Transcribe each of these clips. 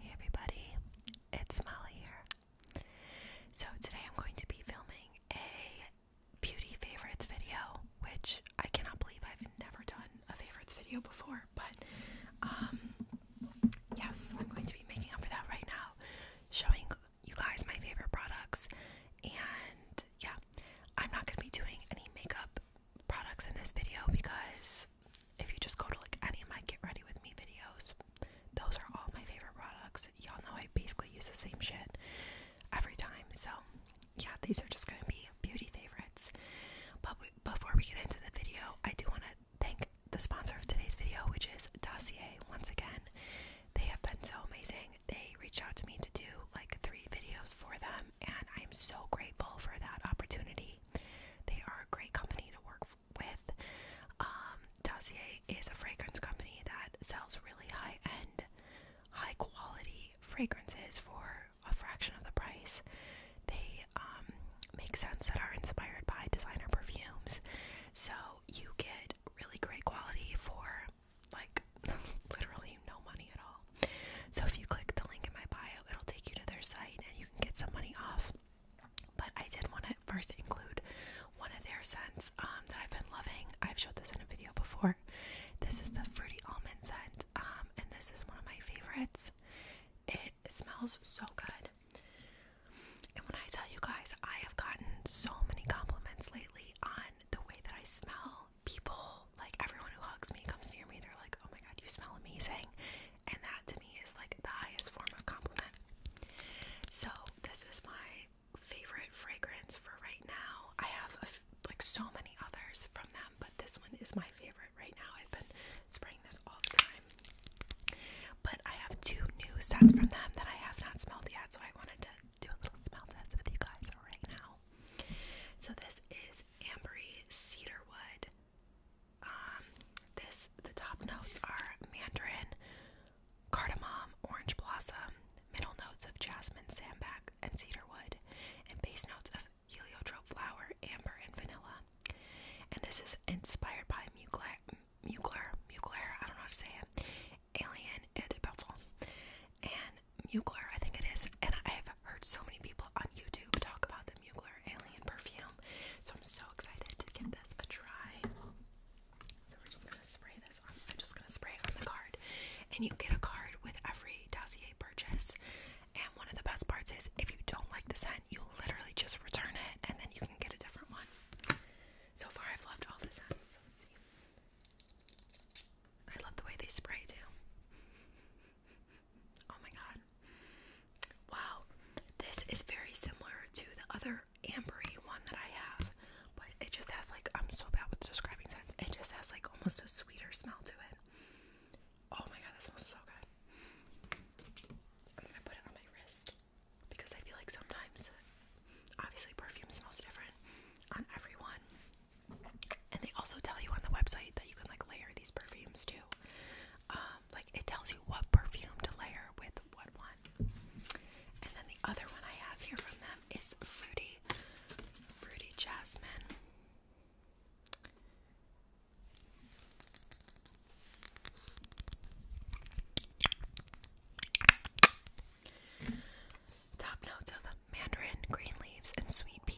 Hey everybody, it's Molly here. So today I'm going to be filming a beauty favorites video, which I cannot believe I've never done a favorites video before, but um yes, I'm going to be making up for that right now, showing you guys my favorite products and yeah, I'm not going to be doing any makeup products in this video because if you just go to like any of my get ready with me videos, those are all my favorite products. Y'all know I basically use the same shit every time. So, yeah, these are just gonna be beauty favorites. But before we get into the video, I do want to thank the sponsor of today's video, which is Dossier. Once again, they have been so amazing. They reached out to me to do like three videos for them, and I'm so grateful for that opportunity. They are a great company to work with. Um, Dossier is a fragrance company that sells really high end, high quality fragrances for a fraction of the price. They um, make scents that are inspired by designer perfumes. So you get really great quality for like literally no money at all. So if you click the link in my bio, it'll take you to their site and you can get some money off. But I did want to first include one of their scents um, that I've been loving. I've showed this in a video before. This is the fruity almond scent, um, and this is one of my favorites. It smells so good. And when I tell you guys, I have gotten so many compliments lately on the way that I smell. People, like everyone who hugs me, comes near me, they're like, oh my god, you smell amazing and that to me is like the highest form of compliment. So this is my favorite fragrance for right now. I have like so many others from them, but this one is my favorite right now. I've been spraying this all the time. But I have two new scents from them that I have not smelled yet, so I wanted to do a little smell test with you guys right now. So this is Ambery Cedarwood um, this the top notes are mandarin, cardamom, orange blossom, middle notes of jasmine, sandback, and cedarwood, and base notes of heliotrope flower, amber, and vanilla. And this is inspired by Mugler, Mugler, Mugler, I don't know how to say it, Alien et eh, de Buffon. And Mugler, I think it is, and I've heard so many people on YouTube talk about them. Mugler Alien Perfume. So I'm so excited to give this a try. So we're just gonna spray this on. I'm just gonna spray it on the card. And you get a card with every dossier purchase. And one of the best parts is if you don't like the scent, you literally just return it and then you can get a different one. So far I've loved all the scents. So let's see. I love the way they spray too. Oh my god. Wow. This is very similar to the other ambery one that I have, but it just has like I'm so bad with describing scents. It just has like almost a sweeter smell to it. Oh my god, that smells so good. I'm gonna put it on my wrist because I feel like sometimes obviously perfume smells different on everyone. And they also tell you on the website that you can like layer these perfumes too. Um, like it tells you what perfume to layer with what one. And then the other one I have here from them is Fruity Fruity Jasmine. Top notes of mandarin, green leaves, and sweet pea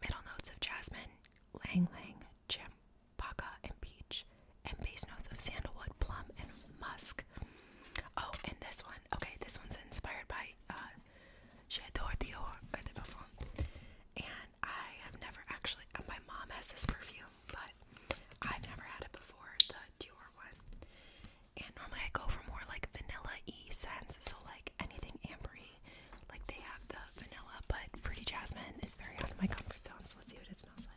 middle notes of jasmine, lang lang, champaka, and peach, and base notes of sandalwood, plum, and musk. Oh, and this one, okay, this one's inspired by uh, J'adore Dior Eau de Parfum, and I have never actually. Uh, my mom has this perfume, but I've never had it before. The Dior one, and normally I go for more like vanilla e scents, so like anything ambery. Like they have the vanilla, but fruity jasmine is very out of my comfort zone. So let's see what it smells like.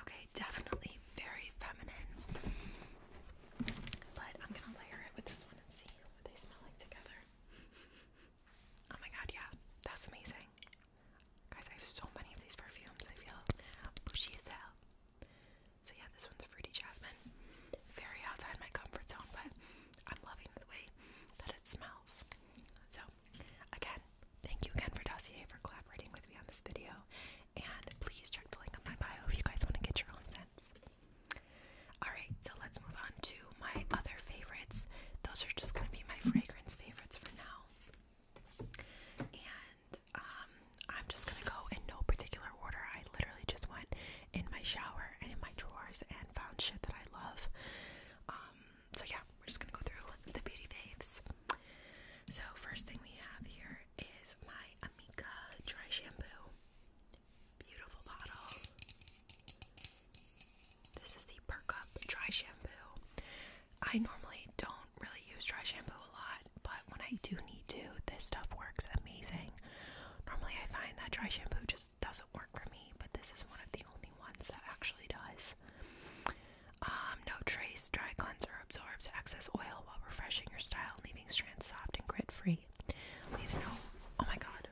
Okay, definitely very feminine. But I'm gonna layer it with this one and see what they smell like together. Oh my god, yeah, that's amazing. Guys, I have so many of these perfumes. I feel bougie as hell. So yeah, this one's fruity jasmine. Very outside my comfort zone, but I'm loving the way that it smells. So again, thank you again for Dossier for collaborating with me on this video. And please check the link on my bio if you guys want to get your own scents. Alright, so let's move on to my other favorites. Those are just gonna be my fragrance favorites for now. And um, I'm just gonna go in no particular order. I literally just went in my shower and in my drawers and found shit that I love. Um, so yeah, we're just gonna go through the beauty faves. So first thing we have here is my Amika dry shampoo. Beautiful bottle. This is the Perk Up dry shampoo. I normally don't do really use dry shampoo a lot, but when I do need to, this stuff works amazing. Normally, I find that dry shampoo just doesn't work for me, but this is one of the only ones that actually does. Um, no trace dry cleanser absorbs excess oil while refreshing your style, leaving strands soft and grit free. Leaves no. Oh my god.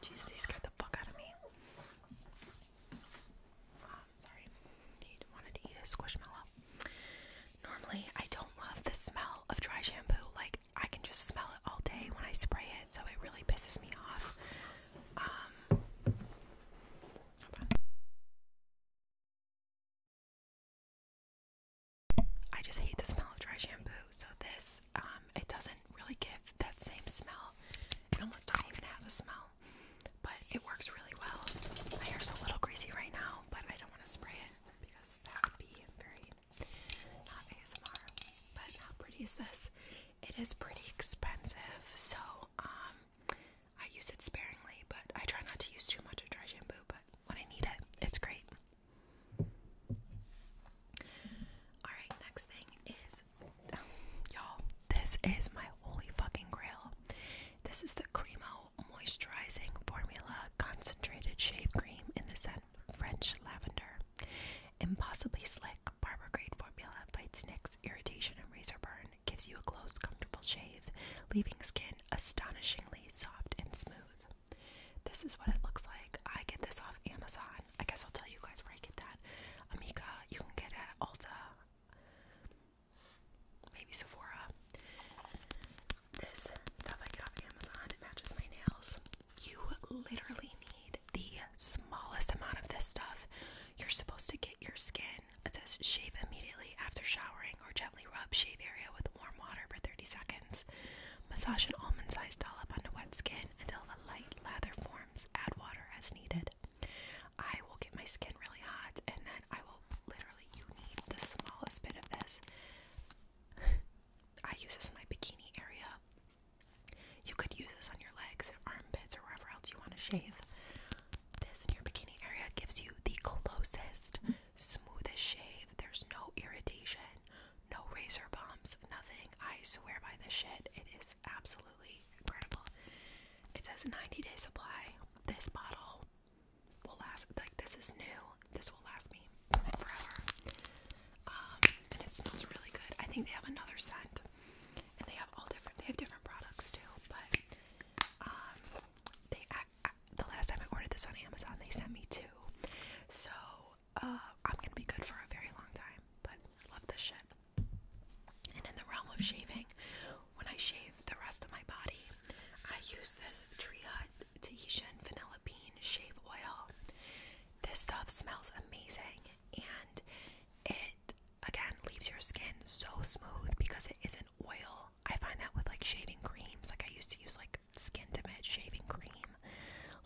Jesus, he scared the fuck out of me. Um, sorry he wanted to eat a squishmallow. Normally, I don't love the smell of dry shampoo. Like, I can just smell it all day when I spray it, so it really pisses me off. Um, I just hate the smell of dry shampoo. So this, um, it doesn't really give that same smell. It almost doesn't even have a smell, but it works really well. My hair's a little greasy right now, but I don't want to spray it because that would be very not ASMR. But how pretty is this? It is pretty expensive, so um, I use it sparingly, but I try not to use too much of dry shampoo. But when I need it, it's great. Alright, next thing is y'all, this is my holy fucking grail. This is the Cremo Moisturizing Formula Concentrated Shave Cream in the scent French Lavender. Impossibly slick barber grade formula fights nicks, irritation, and razor burn. Gives you a close, comfortable shave, leaving skin astonishingly soft and smooth. This is what it looks like. I get this off Amazon. I guess I'll tell you guys where I get that. Amika, you can get it at Ulta maybe Sephora. This stuff I got on Amazon, it matches my nails. You literally need the smallest amount of this stuff. You're supposed to get your skin. It says shave immediately after showering or gently rub shave area with warm water for 30 seconds. Massage an almond sized dollop onto wet skin until a light lather forms. Add water as needed. I will get my skin really hot and then I will literally you need the smallest bit of this. I use this in my bikini area. You could use this on your legs, armpits, or wherever else you want to shave. This in your bikini area gives you the closest, smoothest shave. There's no irritation, no razor bumps, nothing. I swear by this shit. It is absolutely incredible. It says 90 day supply. This bottle will last like this is new. This will last me forever. Um, and it smells really good. I think they have another scent. And they have all different they have different products too, but um they the last time I ordered this on Amazon, they sent me two. So, uh, I'm going to be good for a very long time, but love this shit. And in the realm of shaving, when I shave the rest of my body, I use this Tree Hut Tahitian Vanilla Bean Shave Oil. This stuff smells amazing and it, again, leaves your skin so smooth because it isn't oil. I find that with like shaving creams, like I used to use like Skin Timid shaving cream.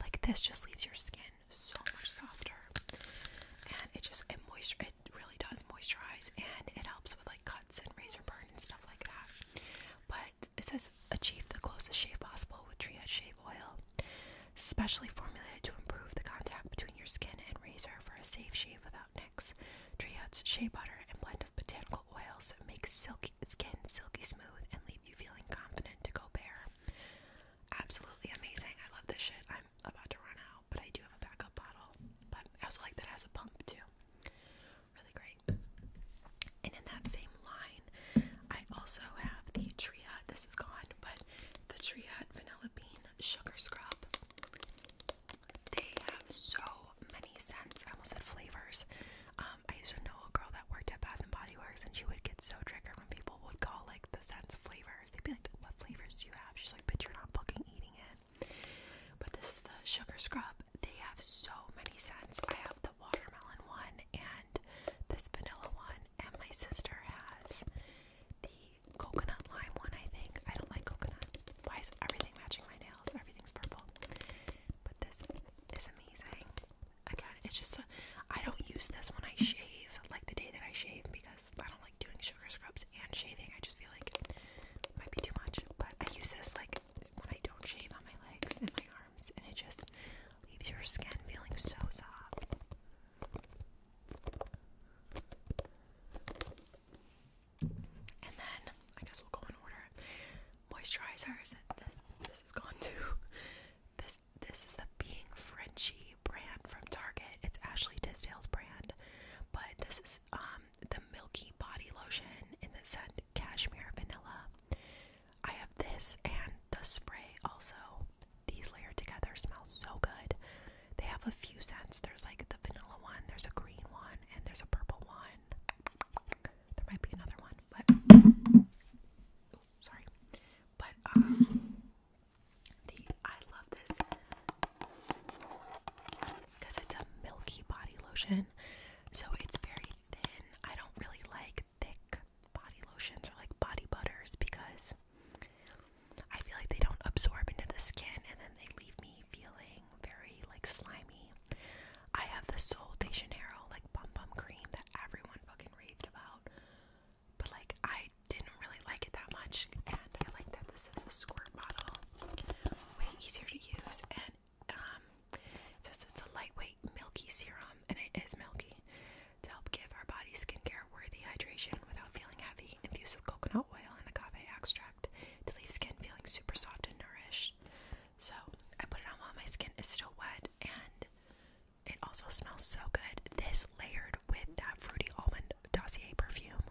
Like this just leaves your skin so much softer and it just, it moisture, it really does moisturize and it helps with like and razor burn and stuff like that. But it says achieve the closest shave possible with Triad Shave Oil, specially formulated to improve the contact between your skin and razor for a safe shave without nicks. Triad's shea butter and blend of botanical oils make silky skin silky smooth and leave you feeling confident to go bare. Absolutely amazing. I love this shit. I'm about to run out but I do have a backup bottle. But I also like that it has a pump too. Really great. And in that same line, I also have the Triad. This is gone, but the Triad Vanilla Bean Sugar Scrub. They have so many scents. I almost said flavors. Um, I used to know a girl that worked at Bath and Body Works, and she would get so triggered when people would call like the scents flavors. They'd be like, "What flavors do you have?" She's like, "But you're not fucking eating it." But this is the sugar scrub. They have so many scents. I have the watermelon one and this vanilla one, and my sister has the coconut lime one, I think. I don't like coconut. Why is everything matching my nails? Everything's purple. But this is amazing. Again, it's just, I I don't use this when I shave, like the day that I shave, because I don't like doing sugar scrubs and shaving. I just feel like it might be too much. But I use this like when I don't shave on my legs and my arms, and it just leaves your skin feeling so soft. And then I guess we'll go in order. Moisturizers. This this is gone too. This this is the Being Frenchy brand from Target. It's Ashley Tisdale's brand, but this is um, the Milky Body Lotion in the scent Cashmere Vanilla. I have this and the spray also. These layered together smell so good. They have a few scents. There's like the vanilla one, there's a green one, and there's a purple one. There might be another one, sorry. But, um. The I love this because it's a milky body lotion, so it's very thin. I don't really like thick body lotions or like body butters because I feel like they don't absorb into the skin and then they leave me feeling very like slimy. I have the Sol de Janeiro like bum bum cream that everyone fucking raved about. But like I didn't really like it that much. I like that this is a squirt bottle. Way easier to use, and um, it says it's a lightweight, milky serum, and it is milky to help give our body skincare worthy hydration without feeling heavy. Infused with coconut oil and agave extract to leave skin feeling super soft and nourished. So I put it on while my skin is still wet, and it also smells so good. This layered with that fruity almond dossier perfume.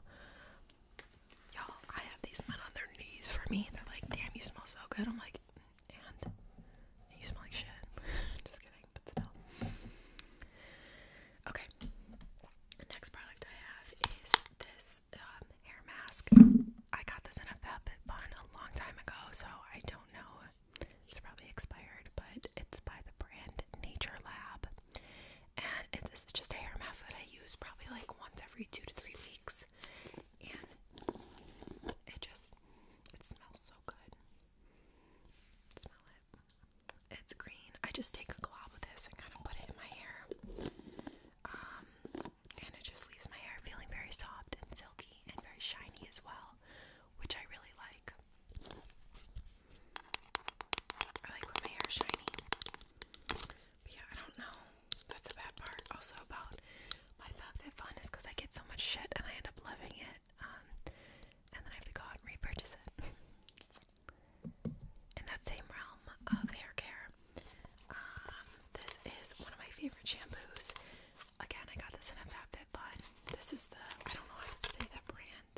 Y'all, I have these men on their knees for me. They're like, damn, you smell so good. I'm like, and you smell like shit. Just kidding, but still. Okay. The next product I have is this um, hair mask. I got this in a Fabit Fun a long time ago, so I don't know. It's probably expired, but it's by the brand Nature Lab and this is just a hair mask that I use probably like once every two to three weeks, and it just it smells so good. Smell it. It's green. I just take a glob of this and kind of put it in my hair, um, and it just leaves my hair feeling very soft and silky and very shiny as well, which I really like. I like when my hair is shiny. yeah, I don't know. That's the bad part also about my FabFitFun is because I get so much shit and I end up loving it. Um, and then I have to go out and repurchase it. In that same realm of hair care, um, this is one of my favorite shampoos. Again, I got this in a FabFitFun. This is the, I don't know how to say that brand.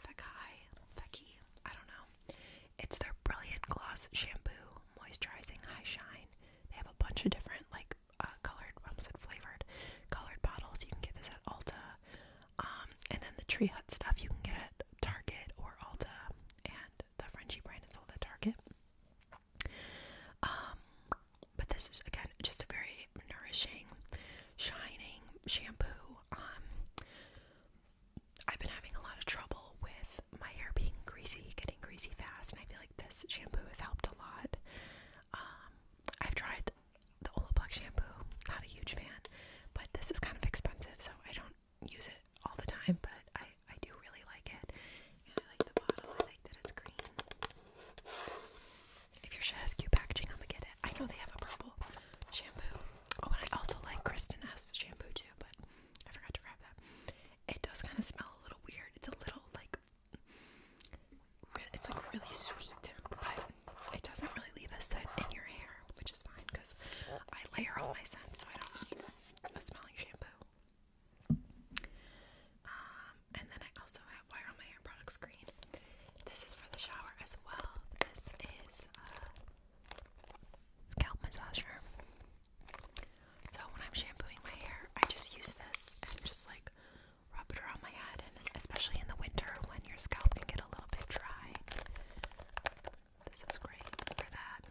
Fakai, Feki, I don't know. It's their Brilliant Gloss Shampoo Moisturizing High Shine. They have a bunch of different, like, uh, colored, almost flavored, colored bottles. You can get this at Ulta. Um, and then the Tree Hut stuff you can get at Target or Ulta. And the Frenchie brand is all at Target. Um, but this is, again, just a very nourishing, shining shampoo. Um, I've been having a lot of trouble with my hair being greasy, getting greasy fast, and I feel like this shampoo has helped a lot. Um, I've tried the Olaplex shampoo, not a huge fan, but this is kind of expensive, so I don't use it all the time, but I, I do really like it. And I like the bottle, I like that it's green. If your shit has cute packaging, I'm gonna get it. I know they have a purple shampoo. Oh, and I also like Kristen S shampoo too, but I forgot to grab that. It does kind of smell a little weird. It's a little like it's like really sweet, but it doesn't really leave a scent in your hair, which is fine because I layer all my scents so I don't need a smelling shampoo. Um, and then I also have Why Are My Hair Products Green? This is for the shower as well. This is a uh, scalp massager. So when I'm shampooing my hair, I just use this and just like rub it around my head, and especially in the winter when your scalp can get a little bit dry. This is great for that.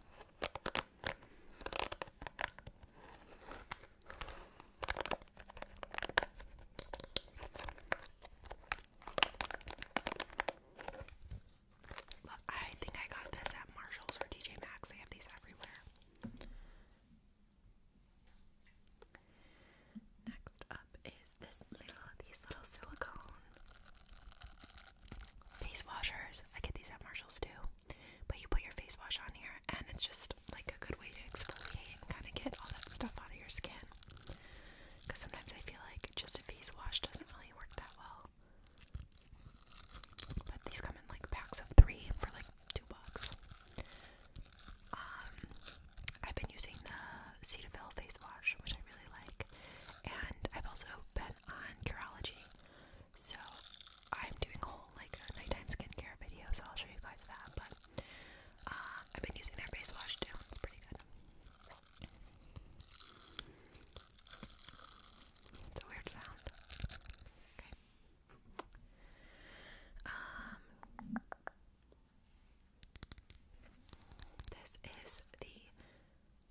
I think I got this at Marshalls or DJ Max. They have these everywhere. Next up is this little these little silicone face washers. I get these at Marshalls too. But you put your face wash on here and it's just like a good way to exfoliate and kind of get all that stuff out of your skin. Because sometimes I feel like just a face wash doesn't really work that well. But these come in like packs of three for like two bucks. Um, I've been using the Cetaphil face wash, which I really like, and I've also been on Curology. So I'm doing a whole like nighttime skincare video, so I'll show you guys that. But uh, I've been using their base wash too. It's pretty good. It's a weird sound. Okay. Um, this is the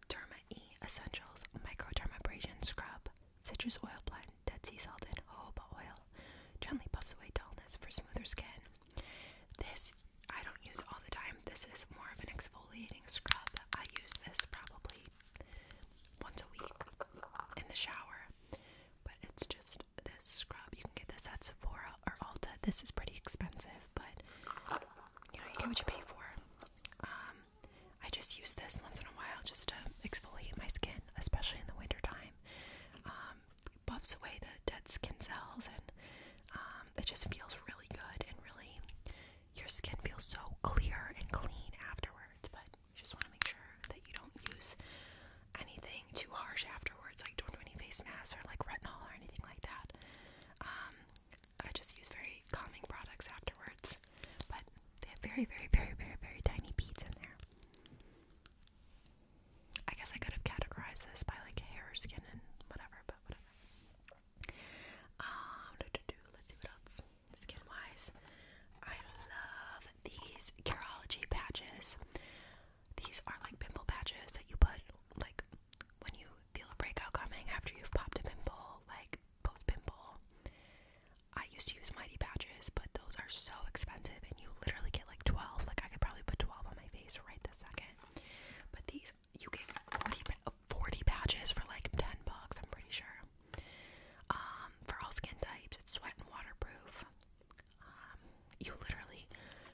Derma Essentials Microdermabrasion Scrub, Citrus Oil Blend, Dead Sea Salt, and Jojoba Oil. Gently puffs away dullness for smoother skin. This I don't use all the time. This is more of an exfoliating scrub. I use this probably once a week in the shower. But it's just this scrub. You can get this at Sephora or Ulta. This is pretty expensive, but you know, you get what you pay for. Um, I just use this once in a while just to exfoliate my skin, especially in the winter time. Um, buffs away the dead skin cells and um, it just feels really good and really your skin feels so clear and clean afterwards but you just want to make sure that you don't use anything too harsh afterwards like don't do any face masks or like retinol or anything like that um, I just use very calming products afterwards but they have very very very very very tiny beads in there I guess I could have categorized this by like hair, skin, and whatever, but whatever. Um, let's see what else. Skin wise, I love these Curology patches. These are like pimple patches that you put like when you feel a breakout coming after you've popped a pimple, like post pimple. I used to use mighty patches, but those are so expensive and you literally get like 12. Like I could probably put 12 on my face right this second. But these you get 40, 40 patches for like 10 bucks, I'm pretty sure. Um for all skin types, it's sweat and waterproof. Um you literally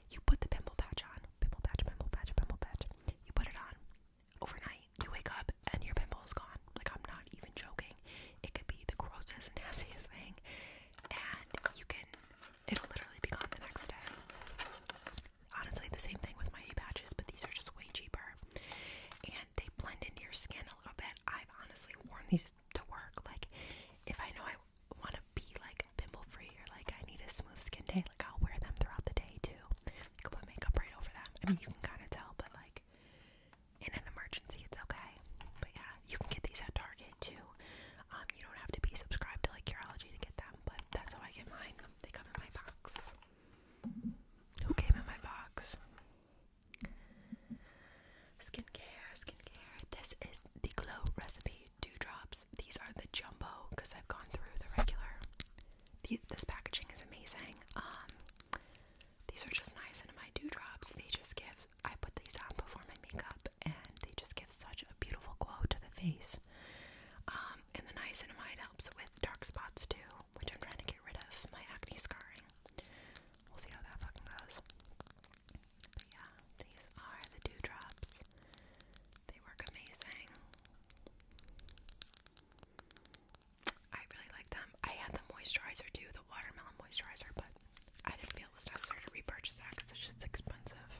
you put the pimple patch on. Pimple patch, pimple patch, pimple patch. You put it on overnight. You wake up and your pimple is gone. Like I'm not even joking. It could be the grossest, nastiest thing. And you can it'll literally be gone the next day. Honestly, the same thing with my A patches, but these are just way cheaper. And they blend into your skin a little bit. I've honestly worn these to work. Like, if I know I want to be like pimple free or like I need a smooth skin day, like I'll wear them throughout the day too. You can put makeup right over them. I mean, you can kind of tell, but like in an emergency, it's okay. But yeah, you can get these at Target it too. Um, you don't have to be subscribed to like Curology to get them, but that's how I get mine. They come in my box. Who came in my box? Skincare, skincare. This is the Glow Recipe Dewdrops. These are the jumbo because I've gone through the regular. this packaging is amazing. Um, these are just nice, and my dewdrops, they just give I put these on before my makeup, and they just give such a beautiful glow to the face. Um, and the niacinamide helps with dark spots too, which I'm trying to get rid of my acne scarring. We'll see how that fucking goes. But yeah, these are the dewdrops. They work amazing. I really like them. I had the moisturizer too, the watermelon moisturizer, but I didn't feel it was necessary to repurchase that because it's just expensive.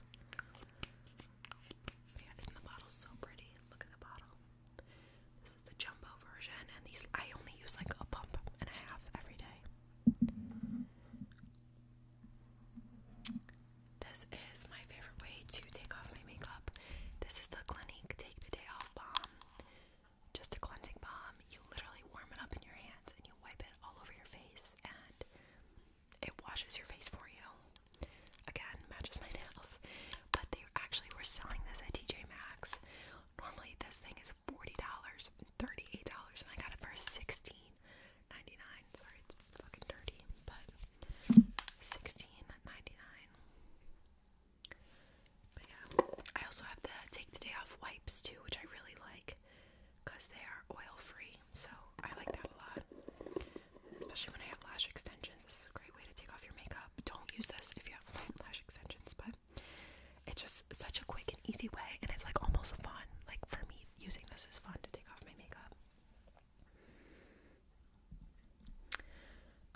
yeah, isn't the bottle so pretty? Look at the bottle. This is the jumbo version, and these I only use like a pump and a half every day. This is my favorite way to take off my makeup. This is the Clinique Take the Day Off Balm. Just a cleansing balm. You literally warm it up in your hands and you wipe it it all over your face and it washes your face for you. Again, matches my nails. But they actually were selling this at TJ Maxx. Normally this thing is $40, $38, and I got it for $16.99. Sorry, it's fucking dirty, but 16 But yeah, I also have the Take the Day Off wipes too, which I really like because they are oil free. So I like that a lot, especially when I have lash extensions. This is a great way to take off your makeup. Don't use this if you have lash extensions, but it's just such a quick and easy way, and it's like almost fun. Like for me, using this is fun to take off my makeup.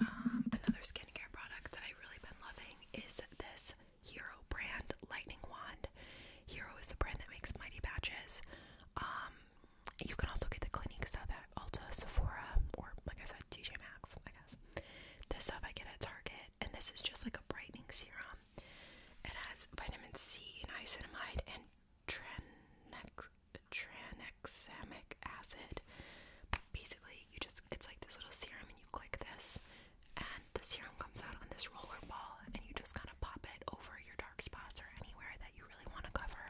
Um, another skincare product that I've really been loving is this Hero brand lightning wand. Hero is the brand that makes mighty batches. Um, you can also get the Clinique stuff at Ulta, Sephora, or like I said, TJ Maxx. I guess this stuff I get at Target, and this is just like a brightening serum. It has vitamin C, and niacinamide, and tranexamic tranex acid. Basically, you just it's like this little serum, and you click this, and the serum comes out on this roller ball and you just kind of pop it over your dark spots or anywhere that you really want to cover.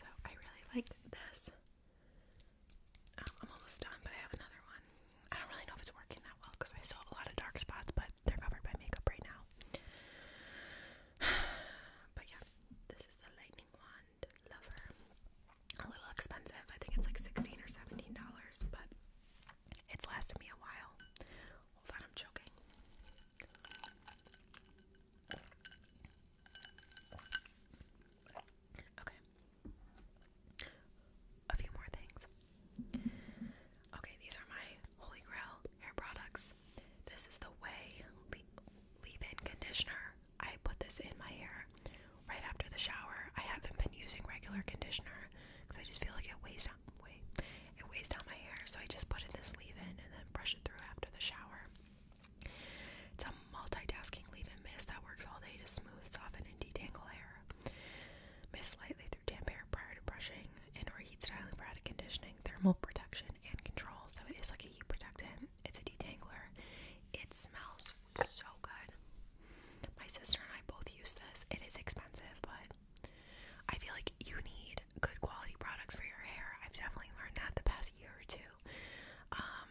So I really like this. Um, I'm almost done, but I have another one. I don't really know if it's working that well because I still have a lot of dark spots, but they're covered by makeup right now. but yeah, this is the lightning wand. Lover. A little expensive. I think it's like sixteen or seventeen dollars, but it's lasted me a while. Hold on, I'm choking. Okay. A few more things. Okay, these are my Holy Grail hair products. This is the Way Leave-In Conditioner. I put this in my hair right after the shower. I haven't been using regular conditioner because I just feel like it weighs down way it weighs down my hair. So I just put in this leave-in and then brush it through after the shower. It's a multitasking leave-in mist that works all day to smooth, soften, and detangle hair. Mist lightly through damp hair prior to brushing and/or heat styling for to conditioning. Thermal protection and control. So it is like a heat protectant. It's a detangler. It smells so good. My sister and I both use this. It is expensive, but I feel like you need good quality products for your hair. I've definitely learned that the past year or two. Um,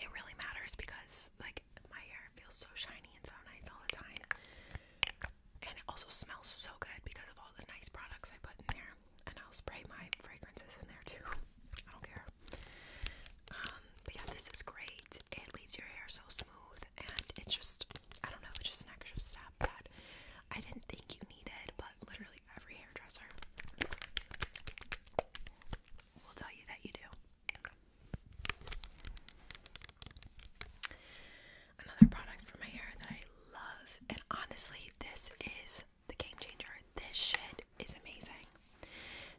it really matters because like my hair feels so shiny and so nice all the time. And it also smells so good because of all the nice products I put in there. And I'll spray my fragrances in there too. I don't care. Um, but yeah, this is great. It leaves your hair so smooth, and it's just, I don't know, it's just an extra step that I didn't think you needed, but literally every hairdresser will tell you that you do. Another product for my hair that I love, and honestly, this is the game changer. This shit is amazing.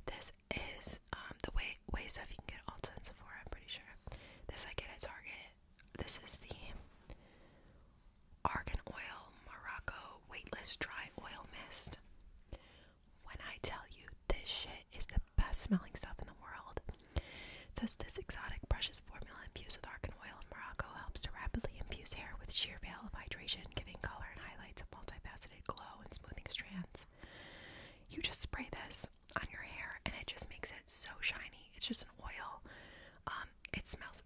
This is um, the way way stuff you can get Ulta and Sephora. I'm pretty sure this I get at Target. This is the Argan Oil Morocco Weightless Dry Oil Mist. When I tell you this shit is the best smelling stuff in the world, says this exotic precious formula infused with argan oil in Morocco helps to rapidly infuse hair with sheer veil of hydration, giving color and highlights of multifaceted glow and smoothing strands. You just spray this on your hair and it just makes it so shiny. It's just an oil. Um, it smells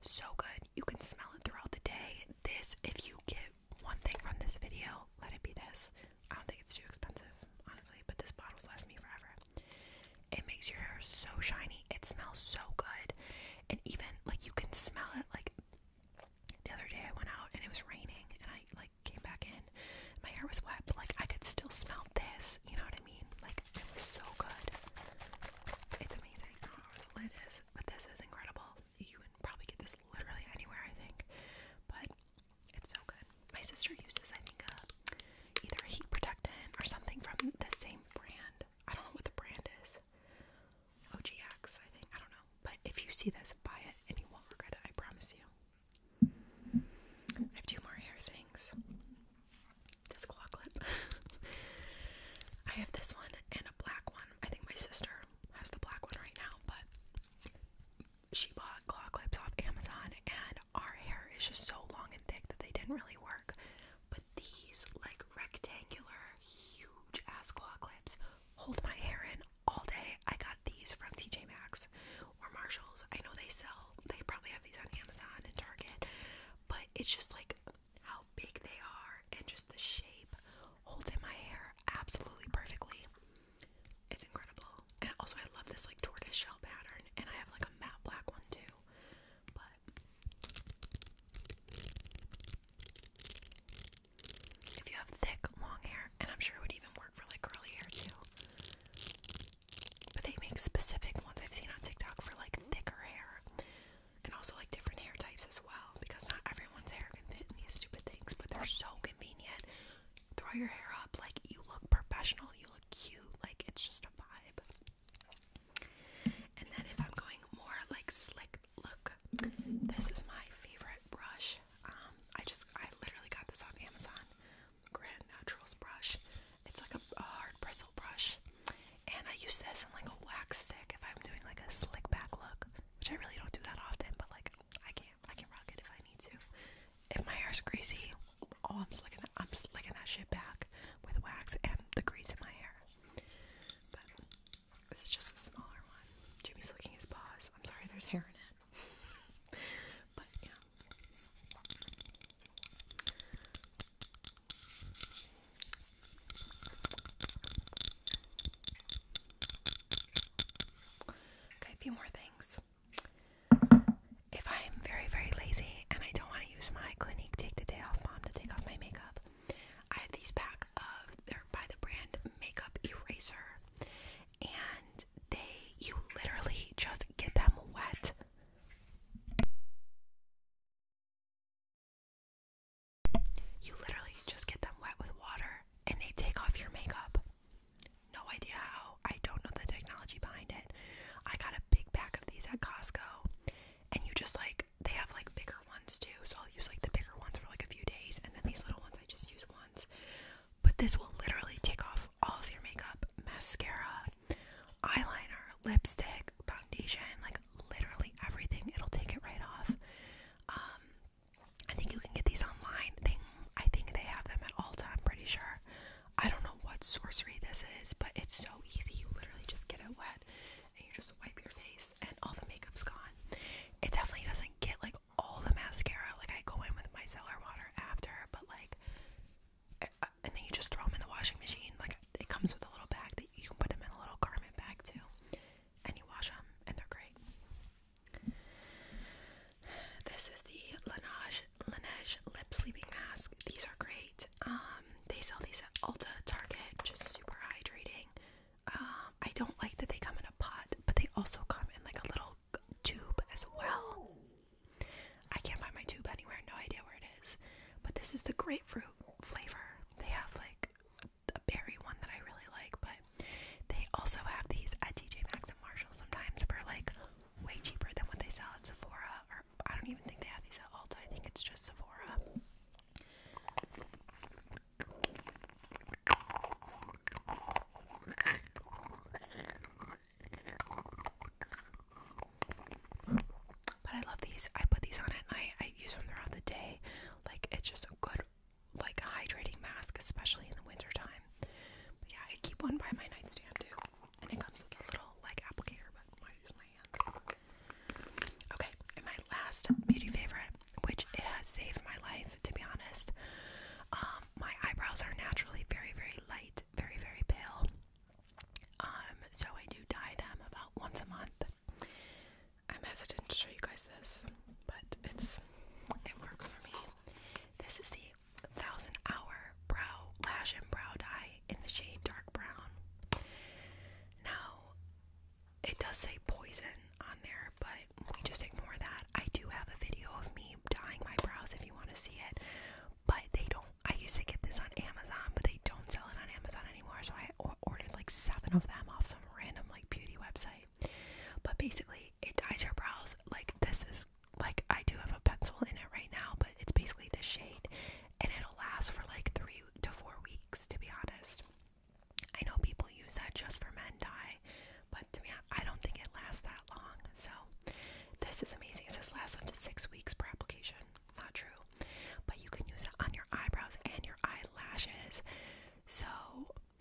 so good. You can smell it throughout the day. This, if you get one thing from this video, let it be this. I don't think it's too expensive, honestly, but this bottle's lasts me forever. It makes your hair so shiny. It smells so good. And even like you can smell it like the other day I went out and it was raining and I like came back in. My hair was wet, but like I could still smell this. You know what I mean? Like it was so good. It's amazing. don't know where the lid is, but this is incredible. You can probably get this literally anywhere, I think. But it's so good. My sister uses, I think, either heat protectant or something from the same brand. I don't know what the brand is. OGX, I think. I don't know. But if you see this, buy it and you won't regret it, I promise you. I have two more hair things. This claw clip. I have this one and a black one. I think my sister has the black one right now, but she bought claw clips off Amazon and our hair is just so long and thick that they didn't really work. But these like rectangular huge ass claw clips hold my hair in all day. I got these from TJ Maxx or Marshalls. I know they sell, they probably have these on Amazon and Target, but it's just like how big they are and just the shape holds in my hair absolutely perfectly. It's incredible. And also, I love this like tortoise shell pattern, and I have like a matte black one too. But if you have thick, long hair, and I'm sure it would even work for like curly hair too. But they make specific ones I've seen on TikTok for like thicker hair and also like different hair types as well because not everyone's hair can fit in these stupid things, but they're so convenient. Throw your hair up, like you look professional, you look cute, like it's just a vibe. And then if I'm going more like slick look, this is my favorite brush. Um, I just, I literally got this on Amazon. Grand Naturals brush. It's like a, hard bristle brush. And I use this in like a wax stick if I'm doing like a slick back look, which I really don't do that often, but like I can't, I can rock it if I need to. If my hair's greasy, oh, I'm slicking that, I'm slicking that shit back with wax and the grease in my hair. But this is just a smaller one. Jimmy's licking his paws. I'm sorry, there's hair in it. but yeah. Okay, a few more things. If I'm very, very lazy and I don't want to use my Clinique Take the Day Off Bomb to take off my makeup, I have these pack of they're by the brand Makeup Eraser, and they you literally just get them wet. You literally just get them wet with water and they take off your makeup. No idea how. I don't know the technology behind it. I got a big pack of these at Costco and you just like they have like bigger ones too, so I'll use like the bigger ones for like a few days, and then these little ones I just use once. But this will literally take off all of your makeup, mascara, eyeliner, lipstick, foundation, like literally everything. It'll take it right off. Um, I think you can get these online. They, I think they have them at Ulta. I'm pretty sure. I don't know what sorcery this is, but it's so easy. You literally just get it wet and you just wipe your face and all the makeup's gone. It definitely doesn't get like all the mascara. Like I go in with my micellar water after, but like, eh, uh, and then you just throw them in the washing machine. Like it comes with a little bag that you can put them in a little garment bag too, and you wash them, and they're great. This is the Laneige Laneige lip sleeping mask. These are great. Um, they sell these at Ulta, Target. Just super hydrating. I don't like that they come in a pot, but they also come in like a little tube as well. I can't find my tube anywhere, no idea where it is. But this is the grapefruit flavor. They have like a berry one that I really like, but they also have these at TJ Maxx and Marshalls sometimes for like way cheaper than what they sell at Sephora. Or I don't even think they have these at Ulta. I think it's just Sephora. But I love these. I put these on at night. I use them throughout the day. Like it's just a good like hydrating mask, especially in the winter time. But yeah, I keep one by my nightstand too. And it comes with a little like applicator, but I use my hands. Okay, my last beauty favorite, which has saved my life, to be honest. Um, my eyebrows are naturally very, very light, very, very pale. Um, so I do dye them about once a month. I'm hesitant to show you guys this, but it's it works for me. This is the Thousand Hour Brow Lash and Brow Dye in the shade dark brown. Now, it does say poison on there, but we just ignore that. I do have a video of me dyeing my brows if you want to see it, but they don't. I used to get this on Amazon, but they don't sell it on Amazon anymore, so I ordered like seven of them off some random like beauty website. But basically, it dyes your brows. Like, this is like I do have a pencil in it right now, but it's basically this shade, and it'll last for like three to four weeks to be honest. I know people use that just for men dye, but to me, I don't think it lasts that long. So, this is amazing. It says lasts up to six weeks per application. Not true, but you can use it on your eyebrows and your eyelashes. So,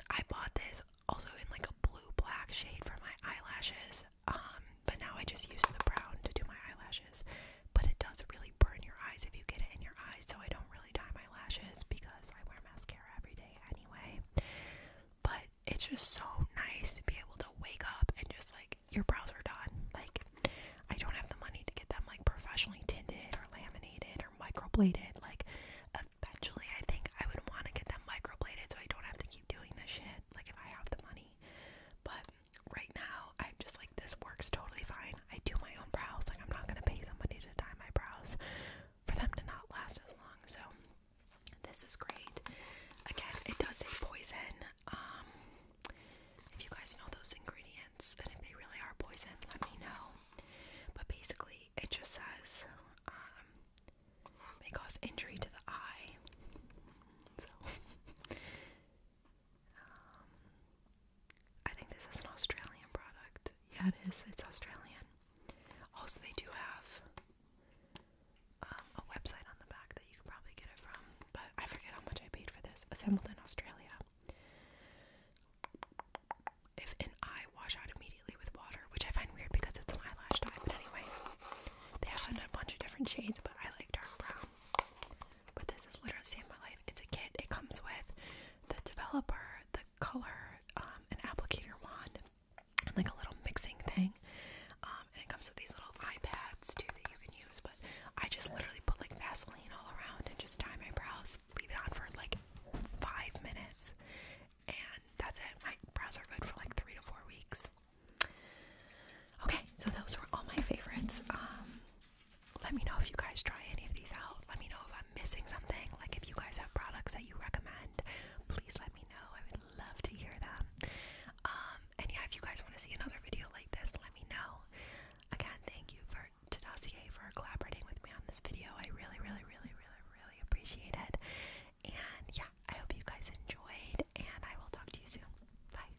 I bought this also in like a blue black shade for my eyelashes, um, but now I just use the brown to do my eyelashes but it does really burn your eyes if you get it in your eyes. So I don't really dye my lashes because I wear mascara every day anyway. But it's just so nice to be able to wake up and just like your brows are done. Like I don't have the money to get them like professionally tinted or laminated or microbladed. Like eventually, I think I would want to get them microbladed so I don't have to keep doing this shit. Like if I have the money, but right now, I'm just like, this works totally fine. I do my own brows. Like, I'm not going to pay somebody to dye my brows for them to not last as long. So, this is great. Again, it does say poison. Um, if you guys know those ingredients and if they really are poison, let me know. But basically, it just says um, may injury to the eye. So, um, I think this is an Australian product. Yeah, it is. It's Australian. Also, they do have um, a website on the back that you could probably get it from, but I forget how much I paid for this. Assembled in Australia. If an eye wash out immediately with water, which I find weird because it's an eyelash dye, but anyway, they have a bunch of different shades, but I like dark brown. But this is literally saved my life. It's a kit. It comes with the developer, the color, um, an applicator wand, and like a little mixing thing. Um, and it comes with these little iPads too that you can use. But I just literally put like Vaseline all around and just dye my brows, leave it on for like five minutes, and that's it. My brows are good for like three to four weeks. Okay, so those were all my favorites. Um, let me know if you guys try any of these out. Let me know if I'm missing something. Like if you guys have products that you recommend, please let me know. I would love to hear them. Um, and yeah, if you guys want to see another video like this, let me know. Again, thank you for to Dossier for collaborating with me on this video. I really, really, really, really, really appreciate it. And yeah, I hope you guys enjoyed, and I will talk to you soon. Bye.